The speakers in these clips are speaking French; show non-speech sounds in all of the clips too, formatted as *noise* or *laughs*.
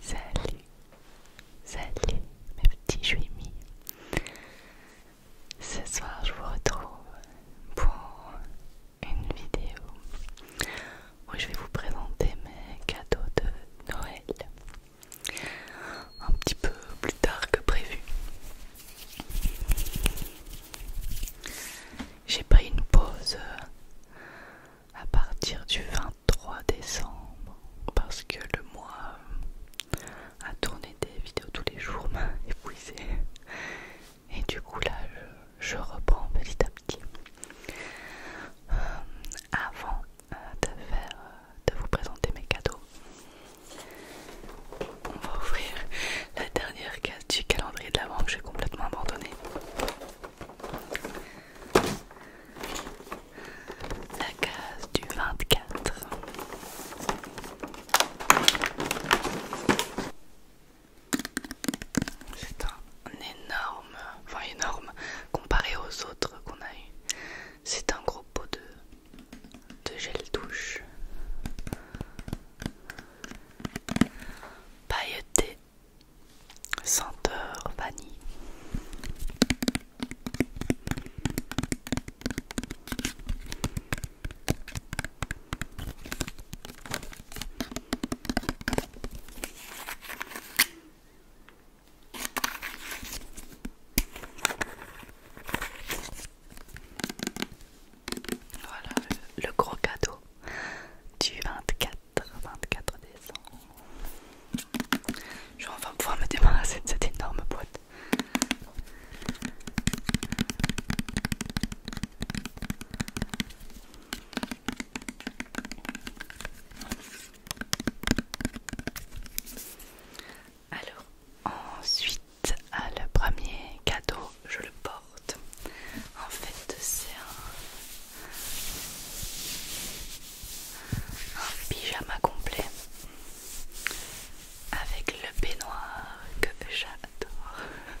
Salut, salut mes petits juimis. Ce soir je vous retrouve pour une vidéo où je vais vous présenter mes cadeaux de Noël un petit peu plus tard que prévu. J'ai pris une pause euh, à partir du 23 décembre parce que le mois à euh, tourné des vidéos tous les jours m'a *laughs* épuisé et du coup là je, reprends petit à petit. Euh, avant euh, de faire, euh, vous présenter mes cadeaux. On va ouvrir la dernière case du calendrier de l'avant que j'ai complètement abandonné. La case du 24. C'est un énorme énorme, énorme, comparé aux autres qu'on a eu. C'est un gros pot de, de gel douche pailleté, senteur vanille. Voilà le, gros cadeau du 24, 24 décembre. Je vais enfin pouvoir me débarrasser de cette énorme boîte. Alors, ensuite, le premier cadeau, je le porte. En fait, c'est un, pyjama complet avec le peignoir que j'adore.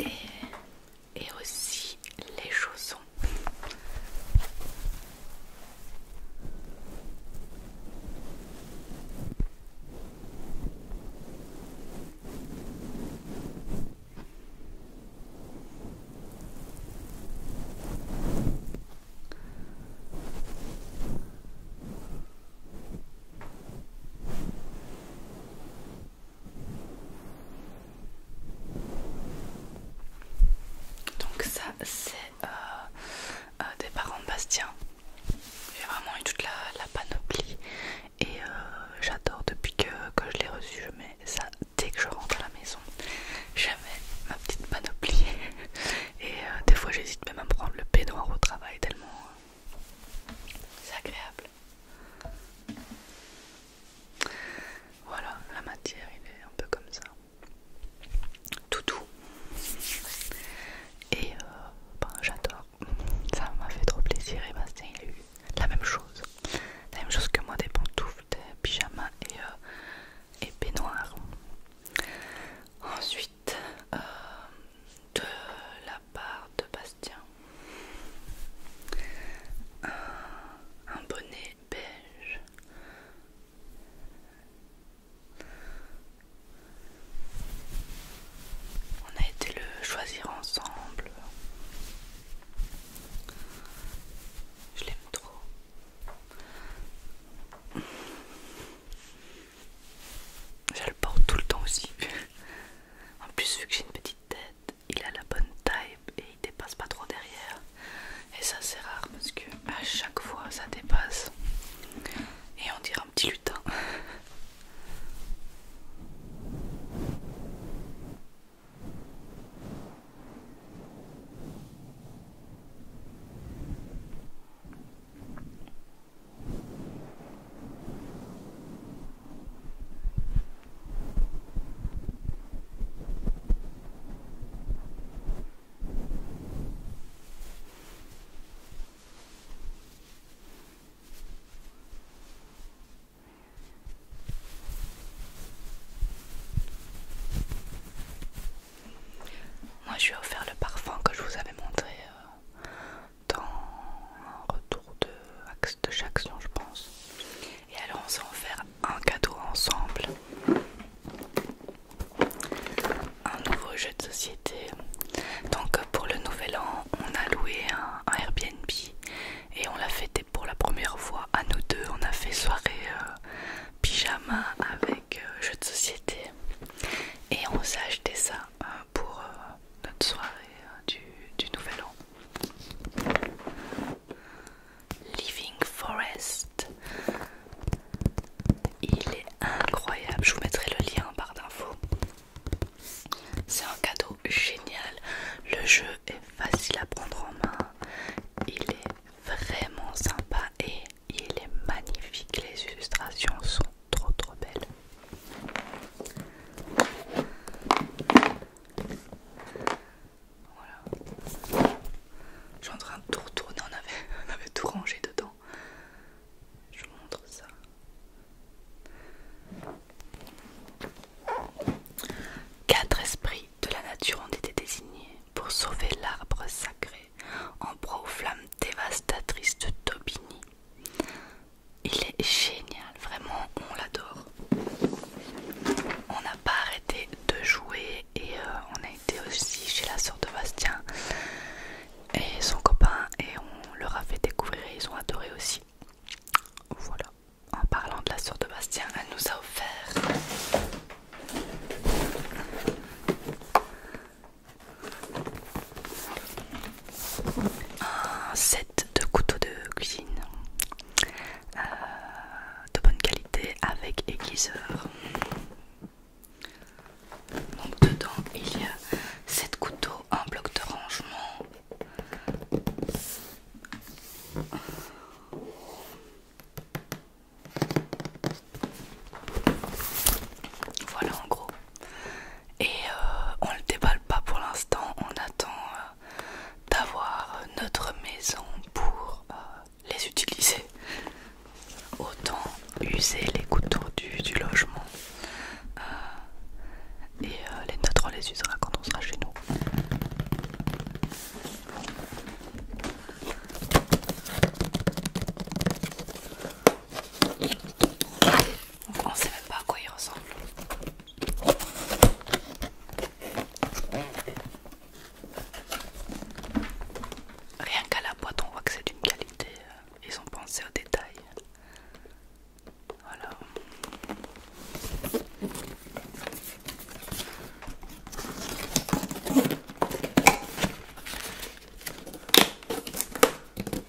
Et et aussi les chaussons. Donc ça c'est euh, euh, des parents de Bastien. J'ai vraiment eu toute la, panoplie et euh, j'adore depuis que, je l'ai reçu. Je mets ça dès que je rentre à la maison. j'avais ma petite panoplie et des fois j'hésite même à prendre le peignoir au travail tellement c'est agréable. Voilà, la matière, il est un peu comme ça. Tout Et euh, ben, j'adore. *laughs* Ça m'a fait trop plaisir. Et Bastien, il a la même chose. La même chose que moi, des pantoufles, des pyjamas et, euh, et Ensuite, euh, de la part de Bastien. Un, bonnet beige. On a été le choisir ensemble. Je l'aime trop. Je le porte tout le temps aussi. en plus, vu que j'ai une petite tête, il a la bonne taille et il dépasse pas trop derrière. Et ça c'est rare parce que à chaque fois ça dépasse. Et on dirait un petit lutin. Moi je lui ai offert le parfum que je vous avais montré euh, dans un retour de, chaque action, je pense. Et alors, on s'est offert un cadeau ensemble un nouveau jeu de société. Donc, pour le nouvel an, on a loué un, Airbnb et on l'a fêté pour la première fois à nous deux. On a fait soirée euh, pyjama avec euh, jeu de société et on s'est acheté ça euh, pour notre soirée du nouvel an. Living Forest. Il est incroyable. Je vous mettrai le lien en barre d'infos. C'est un cadeau génial. Le jeu est facile à prendre en main. Il est vraiment sympa et il est magnifique. Les illustrations sont trop trop belles. Voilà. Je suis en train de tout retourner, *laughs* on avait, tout rangé dedans. Je vous montre ça. Quatre esprits de la nature ont été désignés pour sauver l'arbre sacré en proie aux flammes dévastatrices de Tobini il est génial, vraiment on l'adore. On n'a pas arrêté de jouer et euh, on a été aussi chez la sœur de Bastien et son copain et on leur a fait découvrir et ils ont adoré aussi. Voilà, en parlant de la sœur de Bastien, elle nous a offert un set de couteaux de cuisine euh, de bonne qualité avec aiguiseur. Donc dedans il y a 7 couteaux, un bloc de rangement. Voilà en gros. Et euh, on le déballe pas pour l'instant, on attend euh, d'avoir notre maison pour euh, les utiliser. Autant user les couteaux du, logement. Euh, et euh, les notes on les usera quand on sera chez nous. on on sait même pas à quoi il ressemble. Rien qu'à la boîte, on voit que c'est d'une qualité. Euh, ils ont pensé au détail.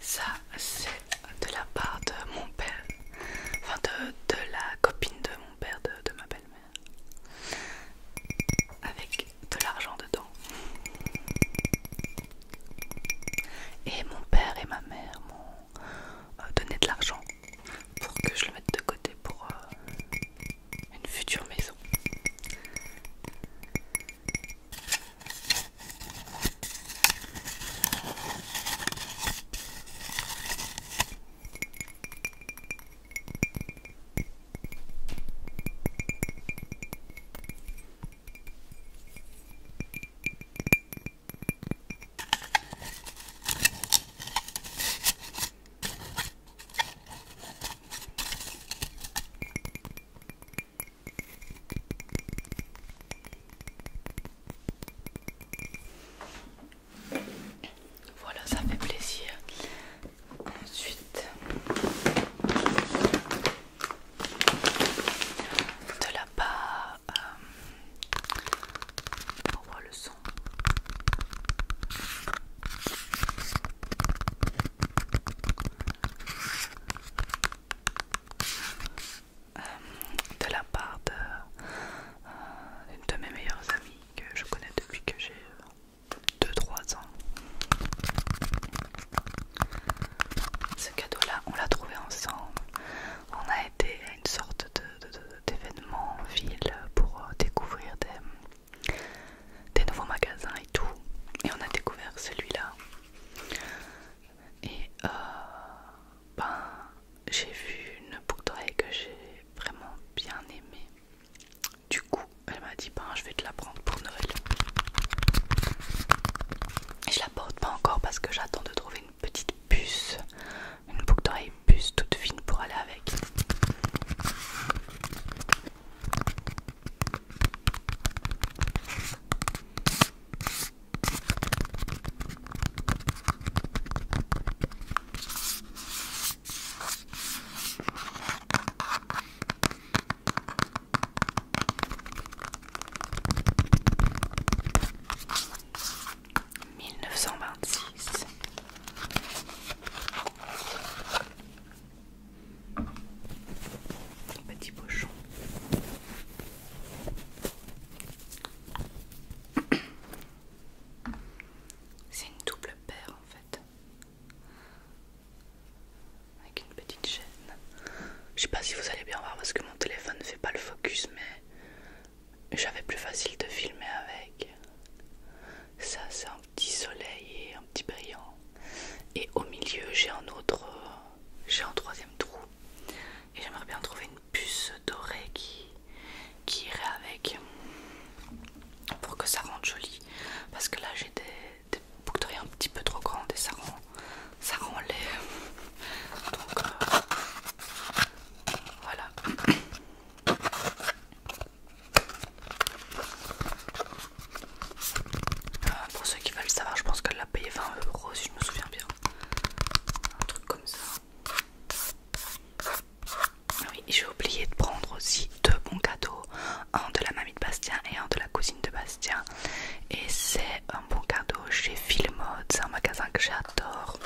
Ça, c'est de la part de mon père, enfin de, la copine de mon père, de, ma belle-mère, avec de l'argent dedans. Et mon père et ma mère euh, donner de l'argent pour que je le mette de côté pour euh, une future maison. Voilà, ça fait plaisir. Ensuite, de la part pour euh, le son. Euh, de la part de, euh, une de mes meilleures amies que je connais depuis que j'ai 2-3 ans. Ce cadeau-là, on l'a trouvé ensemble. On a été une sorte d'événement en ville pour euh, découvrir des, des nouveaux magasins et tout. Et on a découvert celui-là. Et euh, ben, j'ai vu une boucle que j'ai vraiment bien aimé Du coup, elle m'a dit ben, je vais te la prendre pour Noël. Et je la porte pas encore parce que j'attends de trouver une petite une boucle d'oreille puce toute fine pour aller avec. 1926 Petit pochon C'est une double paire en fait Avec une petite chaîne Je sais pas si vous allez bien voir parce que mon téléphone ne fait pas le focus mais j'avais plus facile de filmer avec. Ça, c'est un petit soleil et un petit brillant. Et au milieu, j'ai un autre, j'ai un troisième trou. Et j'aimerais bien trouver une puce dorée qui, irait avec pour que ça rende joli. Parce que là, j'ai des, des boucles un petit peu trop grandes et ça rend ça rend donc euh, voilà euh, pour ceux qui veulent savoir je pense qu'elle l'a payé 20 euros si je me souviens bien un truc comme ça ah oui j'ai oublié de prendre aussi deux bons cadeaux un de la mamie de Bastien et un de la cousine de Bastien et c'est un bon cadeau chez Filmod, c'est un magasin que j'adore.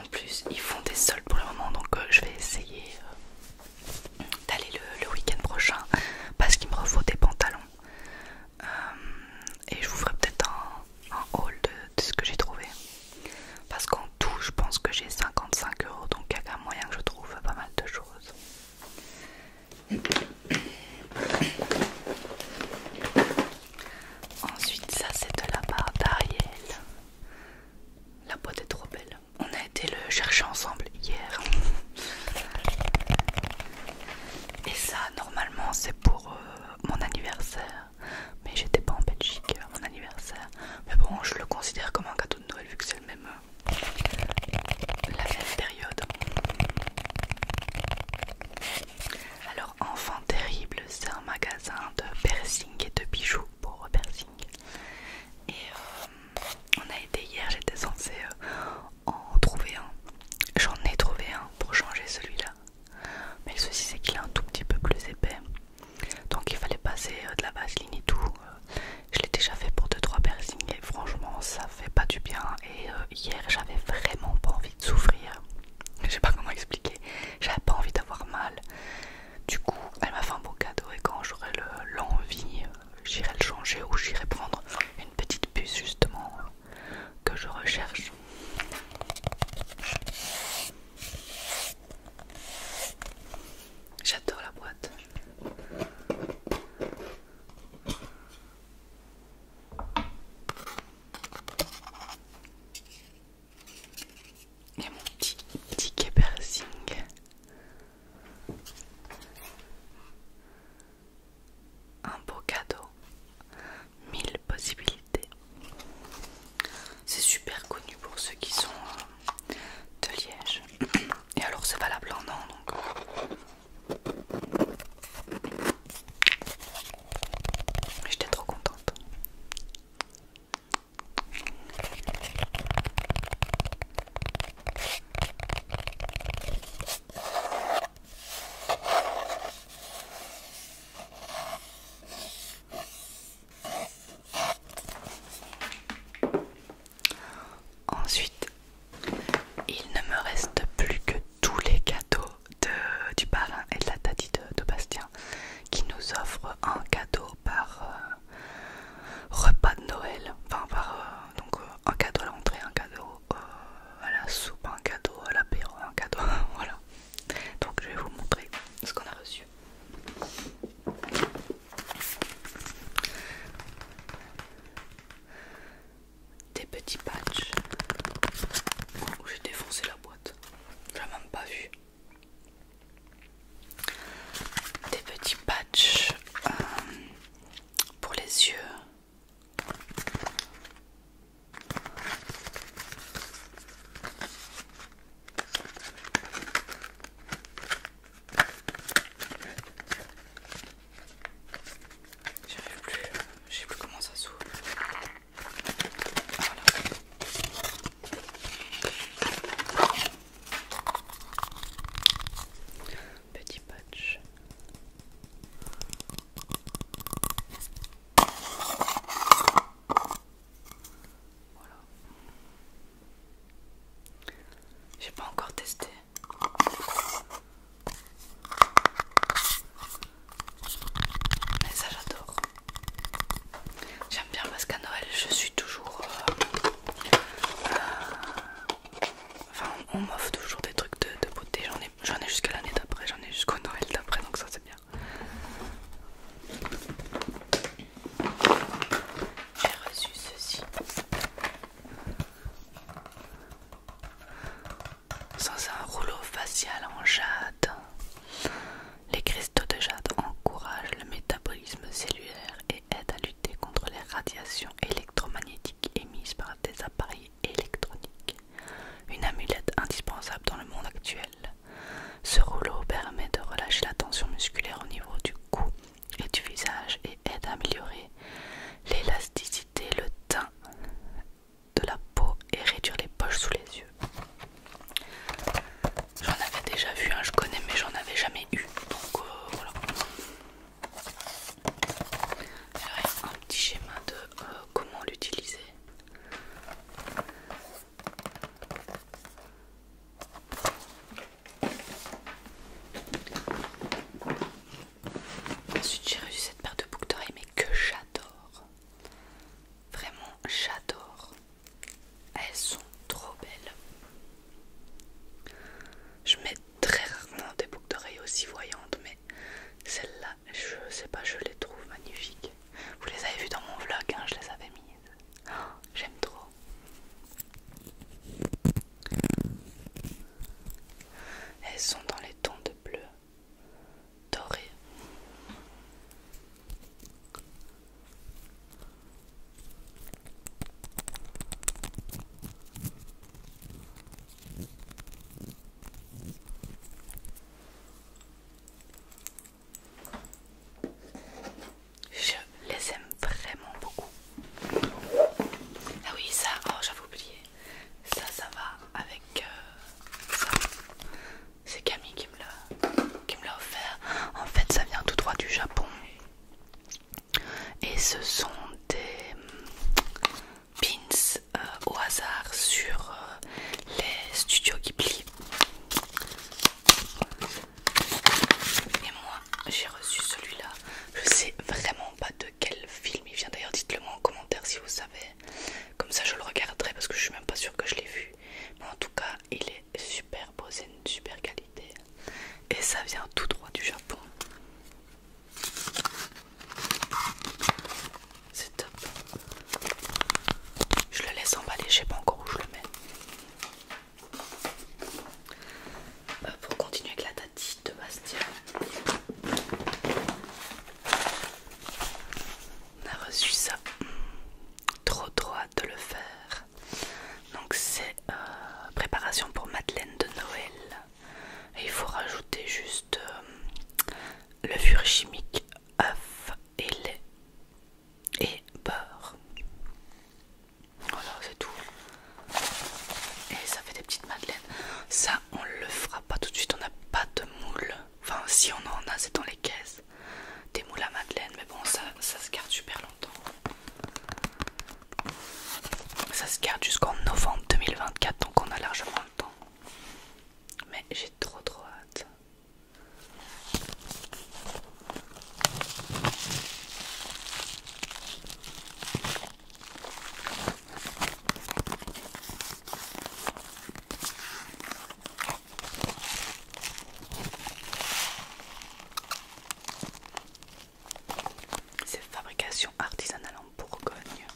En plus, ils font des soldes pour le moment, donc euh, je vais essayer euh, d'aller le, week-end prochain parce qu'il me refaut des pantalons. Euh, et je vous ferai peut-être un, haul de, ce que j'ai trouvé. Parce qu'en tout, je pense que j'ai 55 euros, donc il y a moyen que je trouve pas mal de choses. Ensuite, ça c'est de la part d'Ariel. La boîte est trop belle. On a été le chercher ensemble hier. Et ça, normalement, c'est pour euh, mon anniversaire. Mais j'étais pas en Belgique à euh, mon anniversaire. Mais bon, je le considère comme un cadeau de Noël vu que c'est même. Euh, la même période. Alors, Enfant Terrible, c'est un magasin de piercing et de bijoux pour piercing. Et euh, on a été hier, j'étais censée euh, en trouver un. J'en ai trouvé un pour changer celui-là. Mais le souci, c'est qu'il est un tout petit peu plus épais. Donc il fallait passer euh, de la vaseline et tout. je l'ai déjà fait pour 2-3 piercings et franchement, ça fait pas du bien. Et hier, j'avais vraiment pas envie souffrir. Je sais pas comment expliquer. J'avais pas envie d'avoir mal. Du coup, elle m'a fait un beau cadeau et quand j'aurai l'envie, euh, j'irai le changer ou j'irai prendre une petite puce justement que je recherche. J'adore la boîte. Et mon petit ticket piercing. Un beau cadeau. Mille possibilités. C'est super connu pour ceux qui sont euh, de Liège. *clears throat* Et alors c'est valable en an donc euh, J'étais trop contente. Ensuite, il ne me reste plus que tous les cadeaux de, du parrain et de la tati de, Bastien qui nous offre un cadeau par euh, repas de Noël, enfin par euh, donc euh, un cadeau à l'entrée, un cadeau à la soupe, un cadeau à l'apéro, un cadeau, *laughs* voilà. Donc je vais vous montrer ce qu'on a reçu des petits patchs où j'ai défoncé la boîte. Je l'ai même pas vu. Des petits patchs euh, pour les yeux. J'arrive plus, je plus comment ça s'ouvre. Petit patch. Voilà. J'ai pas encore testé. Mais ça j'adore. J'aime bien parce qu'à Noël je suis toujours... Euh, euh, enfin on m'offre toujours des trucs de, beauté. J'en ai, ai jusqu'à l'année d'après, j'en ai jusqu'au Noël d'après donc ça c'est bien. J'ai reçu ceci sans un rouleau facial en jade. Les cristaux de jade encouragent le métabolisme cellulaire et aident à lutter contre les radiations électromagnétiques émises par des appareils électroniques. Une amulette indispensable dans le monde actuel. Ce rouleau permet de relâcher la tension musculaire au niveau du cou et du visage et aide à améliorer l'élasticité, le teint de la peau et réduire les poches sous les yeux. J'en avais déjà vu, un, je connais, mais j'en avais jamais eu. Donc euh, voilà. un petit schéma de euh, comment l'utiliser. Ensuite, j'ai reçu cette paire de boucles d'oreilles, mais que j'adore. Vraiment, j'adore. Elles sont trop belles. Je mets très rarement des boucles d'oreilles aussi voyantes, mais celles là je sais pas, je les trouve magnifiques. Vous les avez vues dans mon vlog, hein, je les avais mises. Oh, j'aime trop. Elles sont dans les tons de bleu doré. Je les aime vraiment beaucoup. Ah oui, ça, oh, j'avais oublié ça ça va avec euh, ça c'est Camille qui me l'a offert en fait ça vient tout droit du Japon et ce sont des mm, pins euh, au hasard sur euh, les studios Ghibli et moi j'ai reçu celui-là je sais vraiment pas de quel film il vient d'ailleurs dites le moi en commentaire si vous savez comme ça je le regarderai parce que je suis même pas sûre que je l'ai vu mais en tout cas il est super beau c'est une super qualité et ça vient tout droit du Japon c'est top je le laisse emballer je sais pas encore où je le mets euh, pour continuer avec la tati de Bastien on a reçu ça. Trop trop hâte de le faire. Donc c'est euh, préparation pour Madeleine de Noël. Et il faut rajouter juste euh, le levure chimique, œuf et lait et beurre. Voilà, c'est tout. Et ça fait des petites madeleines. Ça, on le fera ah, pas tout de suite, on n'a pas de moules. Enfin, si on en a, c'est dans les caisses. Des moules à madeleine, mais bon, ça, ça se garde super longtemps. Ça se garde jusqu'en novembre 2024, donc on a largement le temps. Mais j'ai trop trop hâte. C'est fabrication artisanale en Bourgogne.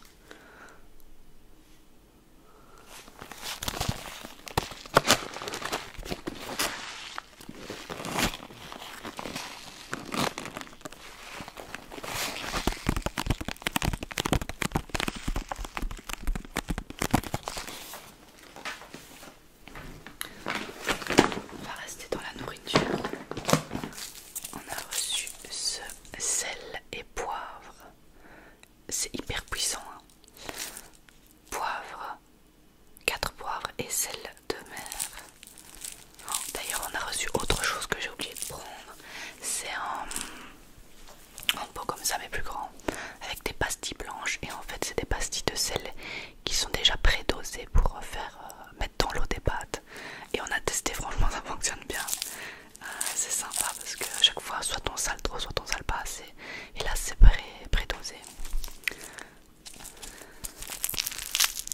On va rester dans la nourriture. On a reçu ce sel et poivre. C'est hyper puissant. Hein. poivre, quatre poivres et sel de mer. D'ailleurs, on a reçu autre chose que j'ai oublié de prendre. C'est un, pot comme ça, mais plus grand, avec des pastilles blanches. Et en fait, c'est des pastilles de sel qui sont déjà pré-dosées pour faire euh, mettre dans l'eau des pâtes. Et on a testé, franchement, ça fonctionne bien. Euh, c'est sympa parce que chaque fois, soit on sale trop, soit on sale pas assez. Et là, c'est prédosé. dosé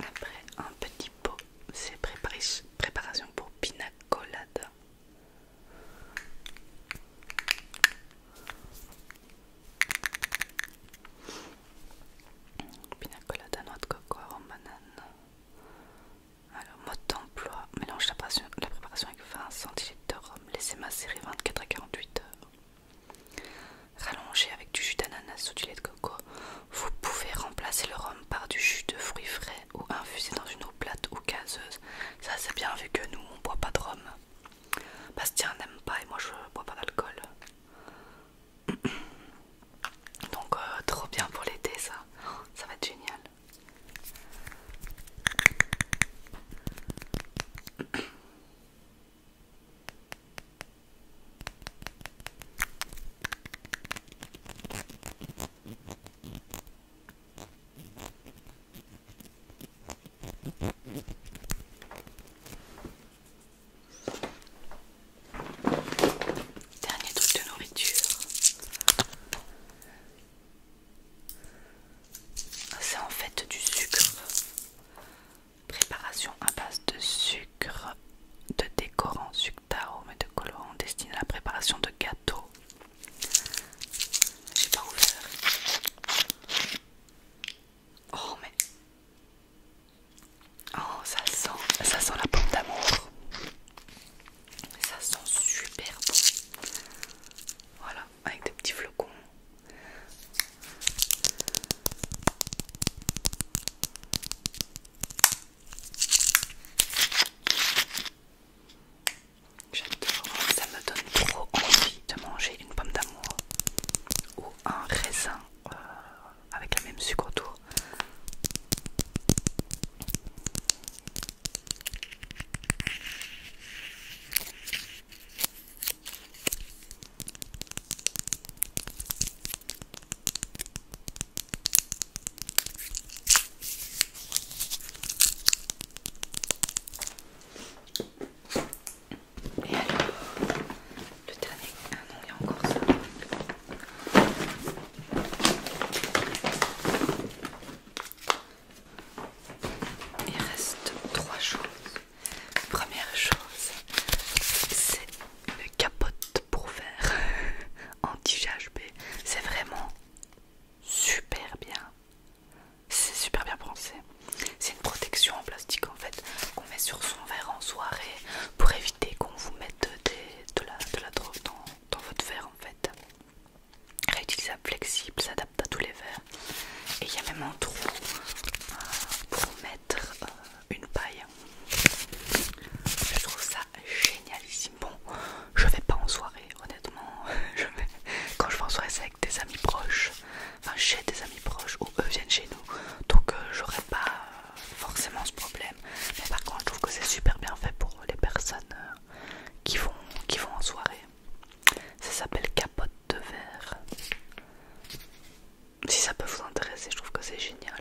Après un petit pot c'est préparation pour pinacolade pinacolade à noix de coco, arôme banane. Alors, mode d'emploi mélange la préparation, avec 20 centilitres de rhum, laissez macérer 24 à 48 heures. Rallongez avec du jus d'ananas ou du lait de coco, vous pouvez remplacer le rhum par du jus de fruits frais ou infuser dans une eau plate ou gazeuse. Ça c'est bien vu que nous on boit pas de rhum. Bastien n'aime pas et moi je bois pas d'alcool. *coughs* Donc euh, trop bien pour l'été ça. Ça va être génial. *coughs* Dernier truc de nourriture. C'est en fait du sucre. Préparation à base de sucre de décorant, sucre d'arôme et de colorants destiné à la préparation de gâteaux. J'ai pas ouvert. Oh mais... Oh ça sent, ça sent la pomme d'amour. Ça sent super bon. Voilà, avec des petits flocons. J'adore, ça me donne trop envie de manger une pomme d'amour ou un raisin euh, avec la même sucre autour. Et alors, le dernier. Ah non, il y a encore ça. Il reste trois choses. Première chose, c'est le capote pour faire *laughs* anti-GHB. C'est vraiment super bien. C'est super bien pensé. C'est une protection en plastique en fait qu'on met sur son verre en soirée pour éviter qu'on vous mette de, la, de drogue dans, votre verre en fait. Réutilisable, flexible, s'adapte à tous les verres. Et il y a même un trou euh, pour mettre euh, une paille. Je trouve ça génialissime. Bon, je vais pas en soirée, honnêtement. *laughs* Quand je vais en soirée, c'est avec des amis proches, enfin chez des amis proches, ou eux viennent chez nous. Donc, euh, j'aurai j'aurais pas forcément ce problème. Mais par contre, je trouve que c'est super bien fait pour les personnes euh, qui, vont, qui vont en soirée. Ça s'appelle capote de verre si ça peut vous intéresser, je trouve que c'est génial.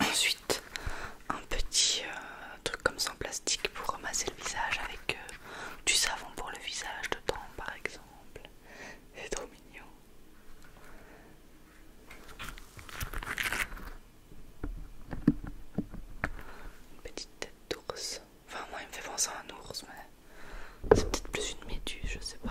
Ensuite, un petit euh, truc comme ça en plastique pour ramasser le visage avec du savon pour le visage de temps, par exemple. C'est trop mignon. Une petite tête d'ours. Enfin moi il me fait penser à un ours mais c'est peut-être plus une méduse, je sais pas.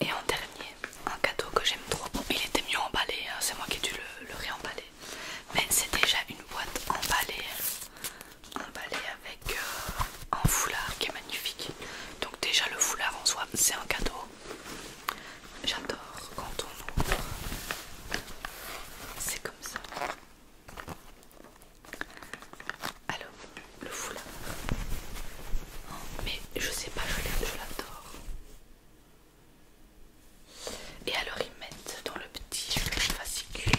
Et en dernier, un cadeau que j'aime trop. Il était mieux emballé, hein, c'est moi qui ai dû le, réemballer. Mais c'est déjà une boîte emballée, emballée avec euh, un foulard qui est magnifique. Donc déjà le foulard en soi, c'est un cadeau. J'adore quand on ouvre. C'est comme ça. Alors, le foulard. Oh, mais je sais pas, je l'adore. Et alors ils mettent dans le petit fascicule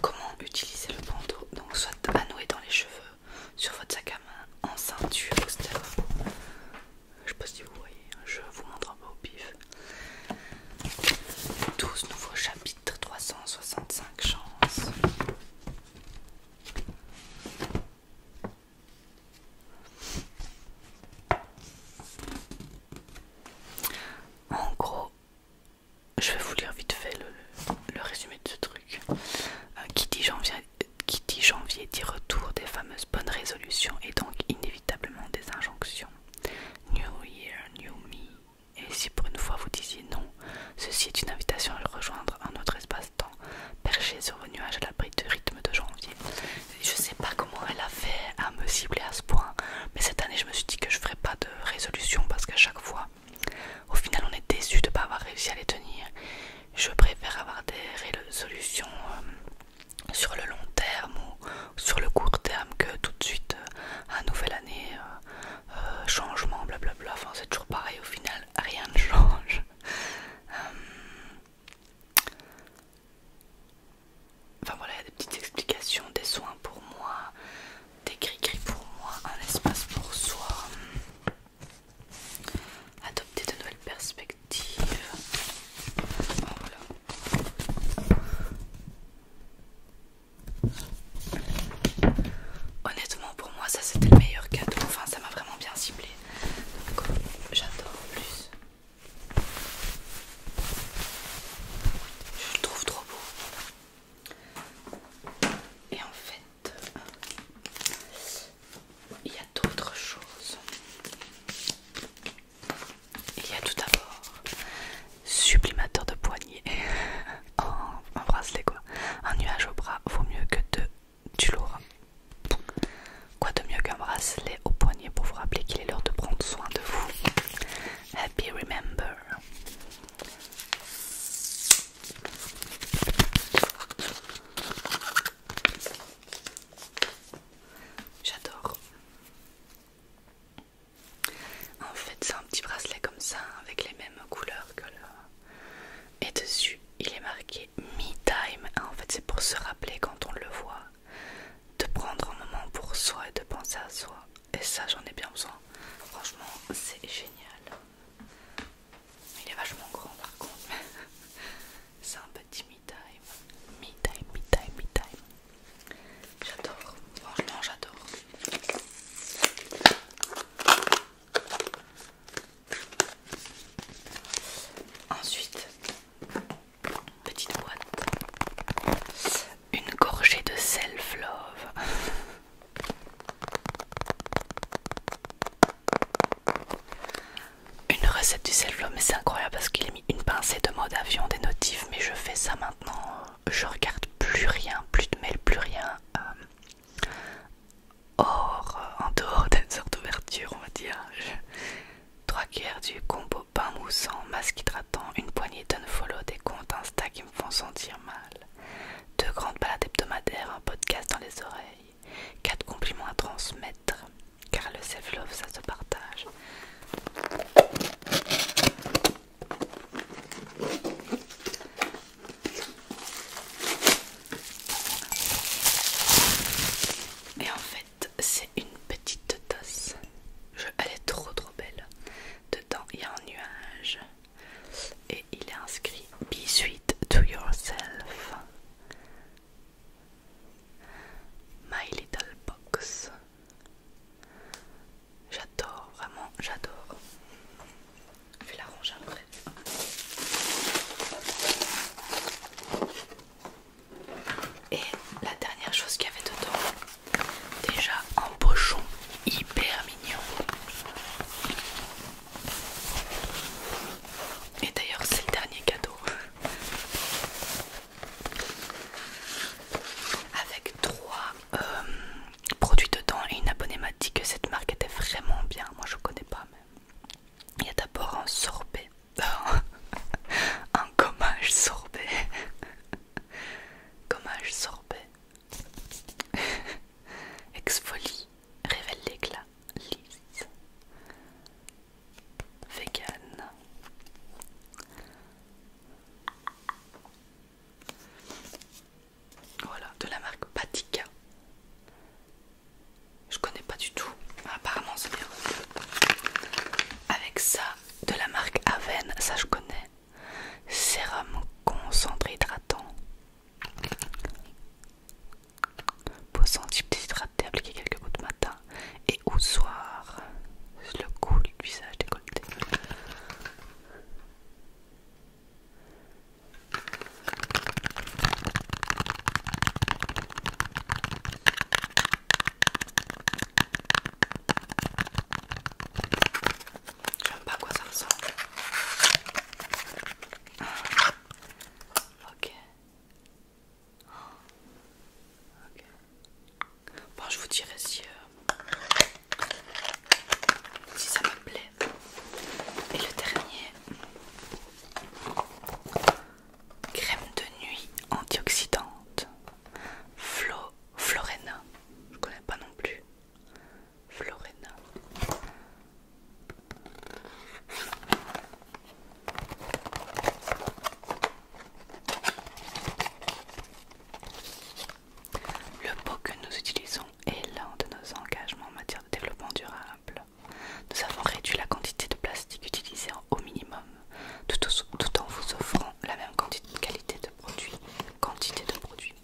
comment utiliser le bandeau, donc soit à nouer dans les cheveux, sur votre sac à main, en ceinture, etc je sais pas si vous voyez, hein, je vous montre peu au pif. 12 nouveaux chapitres, 365 chances. En gros, je vais vous lire vite fait le, résumé de ce truc. Euh, qui dit viens qui dit janvier dit retour des fameuses bonnes résolutions et donc inévitablement des injonctions. New Year, New Me. Et si pour une fois vous disiez non, ceci est une invitation à le rejoindre un autre espace-temps, perché sur vos nuages à l'abri du rythme de janvier. Je sais pas comment elle a fait à me cibler à ce point, mais cette année je me suis dit que je ferais pas de résolution parce qu'à chaque fois, au final on est déçu de ne pas avoir réussi à les tenir. Je préfère avoir des résolutions euh, sur le long terme ou sur le court terme que tout de suite à euh, nouvelle année euh, euh, changement blablabla enfin c'est toujours pareil au final rien ne change enfin voilà il y a des petites explications des soins pour moi des gris cris pour moi un espace pour soi adopter de nouvelles perspectives Honnêtement, pour moi, ça c'était le meilleur cadeau. Enfin, ça m'a vraiment bien ciblé. Donc, j'adore plus. Je le trouve trop beau. Et en fait, il y a d'autres choses. Il y a tout d'abord sublimateur de poignet *laughs* en, bracelet quoi. Un nuage au bras vaut mieux que deux tu' Quoi de mieux qu'un bracelet au poignet pour vous rappeler qu'il est l'heure de prendre soin de vous. Happy remember. J'adore. En fait, c'est un petit bracelet comme ça, avec les mêmes couleurs que le. Et dessus, il est marqué Me Time. En fait, c'est pour se rappeler quand on le voit, de prendre un moment pour soi et de penser à soi. Et ça, j'en ai bien besoin. Franchement, c'est génial. Il est vachement grand par contre. *laughs* c'est un peu timide time, me time, time, me time. J'adore, franchement j'adore. Ensuite, petite boîte, une gorgée de self-love. Une recette du self-love, mais c'est incroyable parce qu'il a mis une pincée de mode avion des notifs, mais je fais ça maintenant. Je regarde plus rien, plus de mails, plus rien. Euh, or en dehors d'une sorte d'ouverture, on va dire. Trois quarts du combo pain moussant, masque hydratant, une poignée follow, des comptes Insta qui me font sentir mal. Deux grandes balades hebdomadaires, un podcast dans les oreilles. Quatre compliments à transmettre, car le self-love, ça se partage. Et en fait, c'est une petite tasse. elle est trop trop belle. Dedans, il y a un nuage. Et il est inscrit Be sweet to yourself. My Little Box. J'adore, vraiment, j'adore. Je vais la ranger après. Et la dernière chose qu'il y avait dedans, déjà un pochon hyper mignon. Et d'ailleurs, c'est le dernier cadeau. Avec trois euh, produits dedans et une abonnée m'a dit que cette marque était vraiment bien. Moi je connais pas mais... Il y a d'abord un sorbet. *laughs* un gommage sorbet. gommage sorbet. Exfolie révèle l'éclat lisse vegan. Voilà, de la marque Patika. Je connais pas du tout. Apparemment, c'est bien. Avec ça, de la marque Aven, ça je connais. Sérum concentré hydratant. Posant type petit hydraté, appliquer quelques de matin et au soir. Le cou, du visage décolleté. J'aime pas à quoi ça ressemble. Ok. Bon, je vous dirai euh, si, ça me plaît. Et le dernier, crème de nuit antioxydante, Flo, Florena. Je connais pas non plus. Florena. Le pot que nous utilisons est l'un de nos engagements en matière de développement durable. Nous avons réduit la quantité de plastique utilisée au minimum, tout, en vous offrant la même quantité, qualité de produit. Quantité de produit...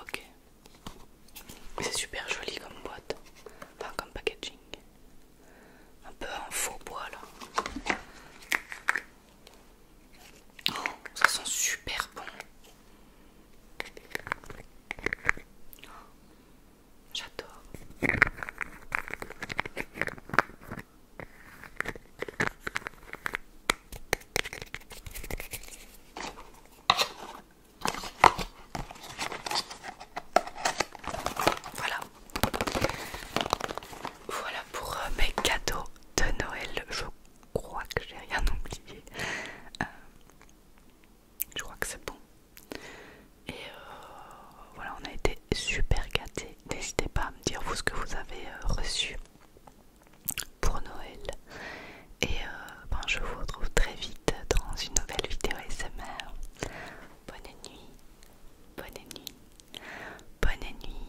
Ok. C'est super joli comme boîte, enfin comme packaging un peu en faux bois là. Oh, ça sent super bon. J'adore. Voilà. Voilà pour euh, mes cadeaux de Noël. Je crois que j'ai rien oublié. Euh, je crois que c'est bon. Et euh, voilà, on a été super gâtés. N'hésitez pas à me dire vous ce que vous avez reçu pour Noël. Et ben, je vous retrouve très vite dans une nouvelle vidéo SMR. Bonne nuit, bonne nuit, bonne nuit.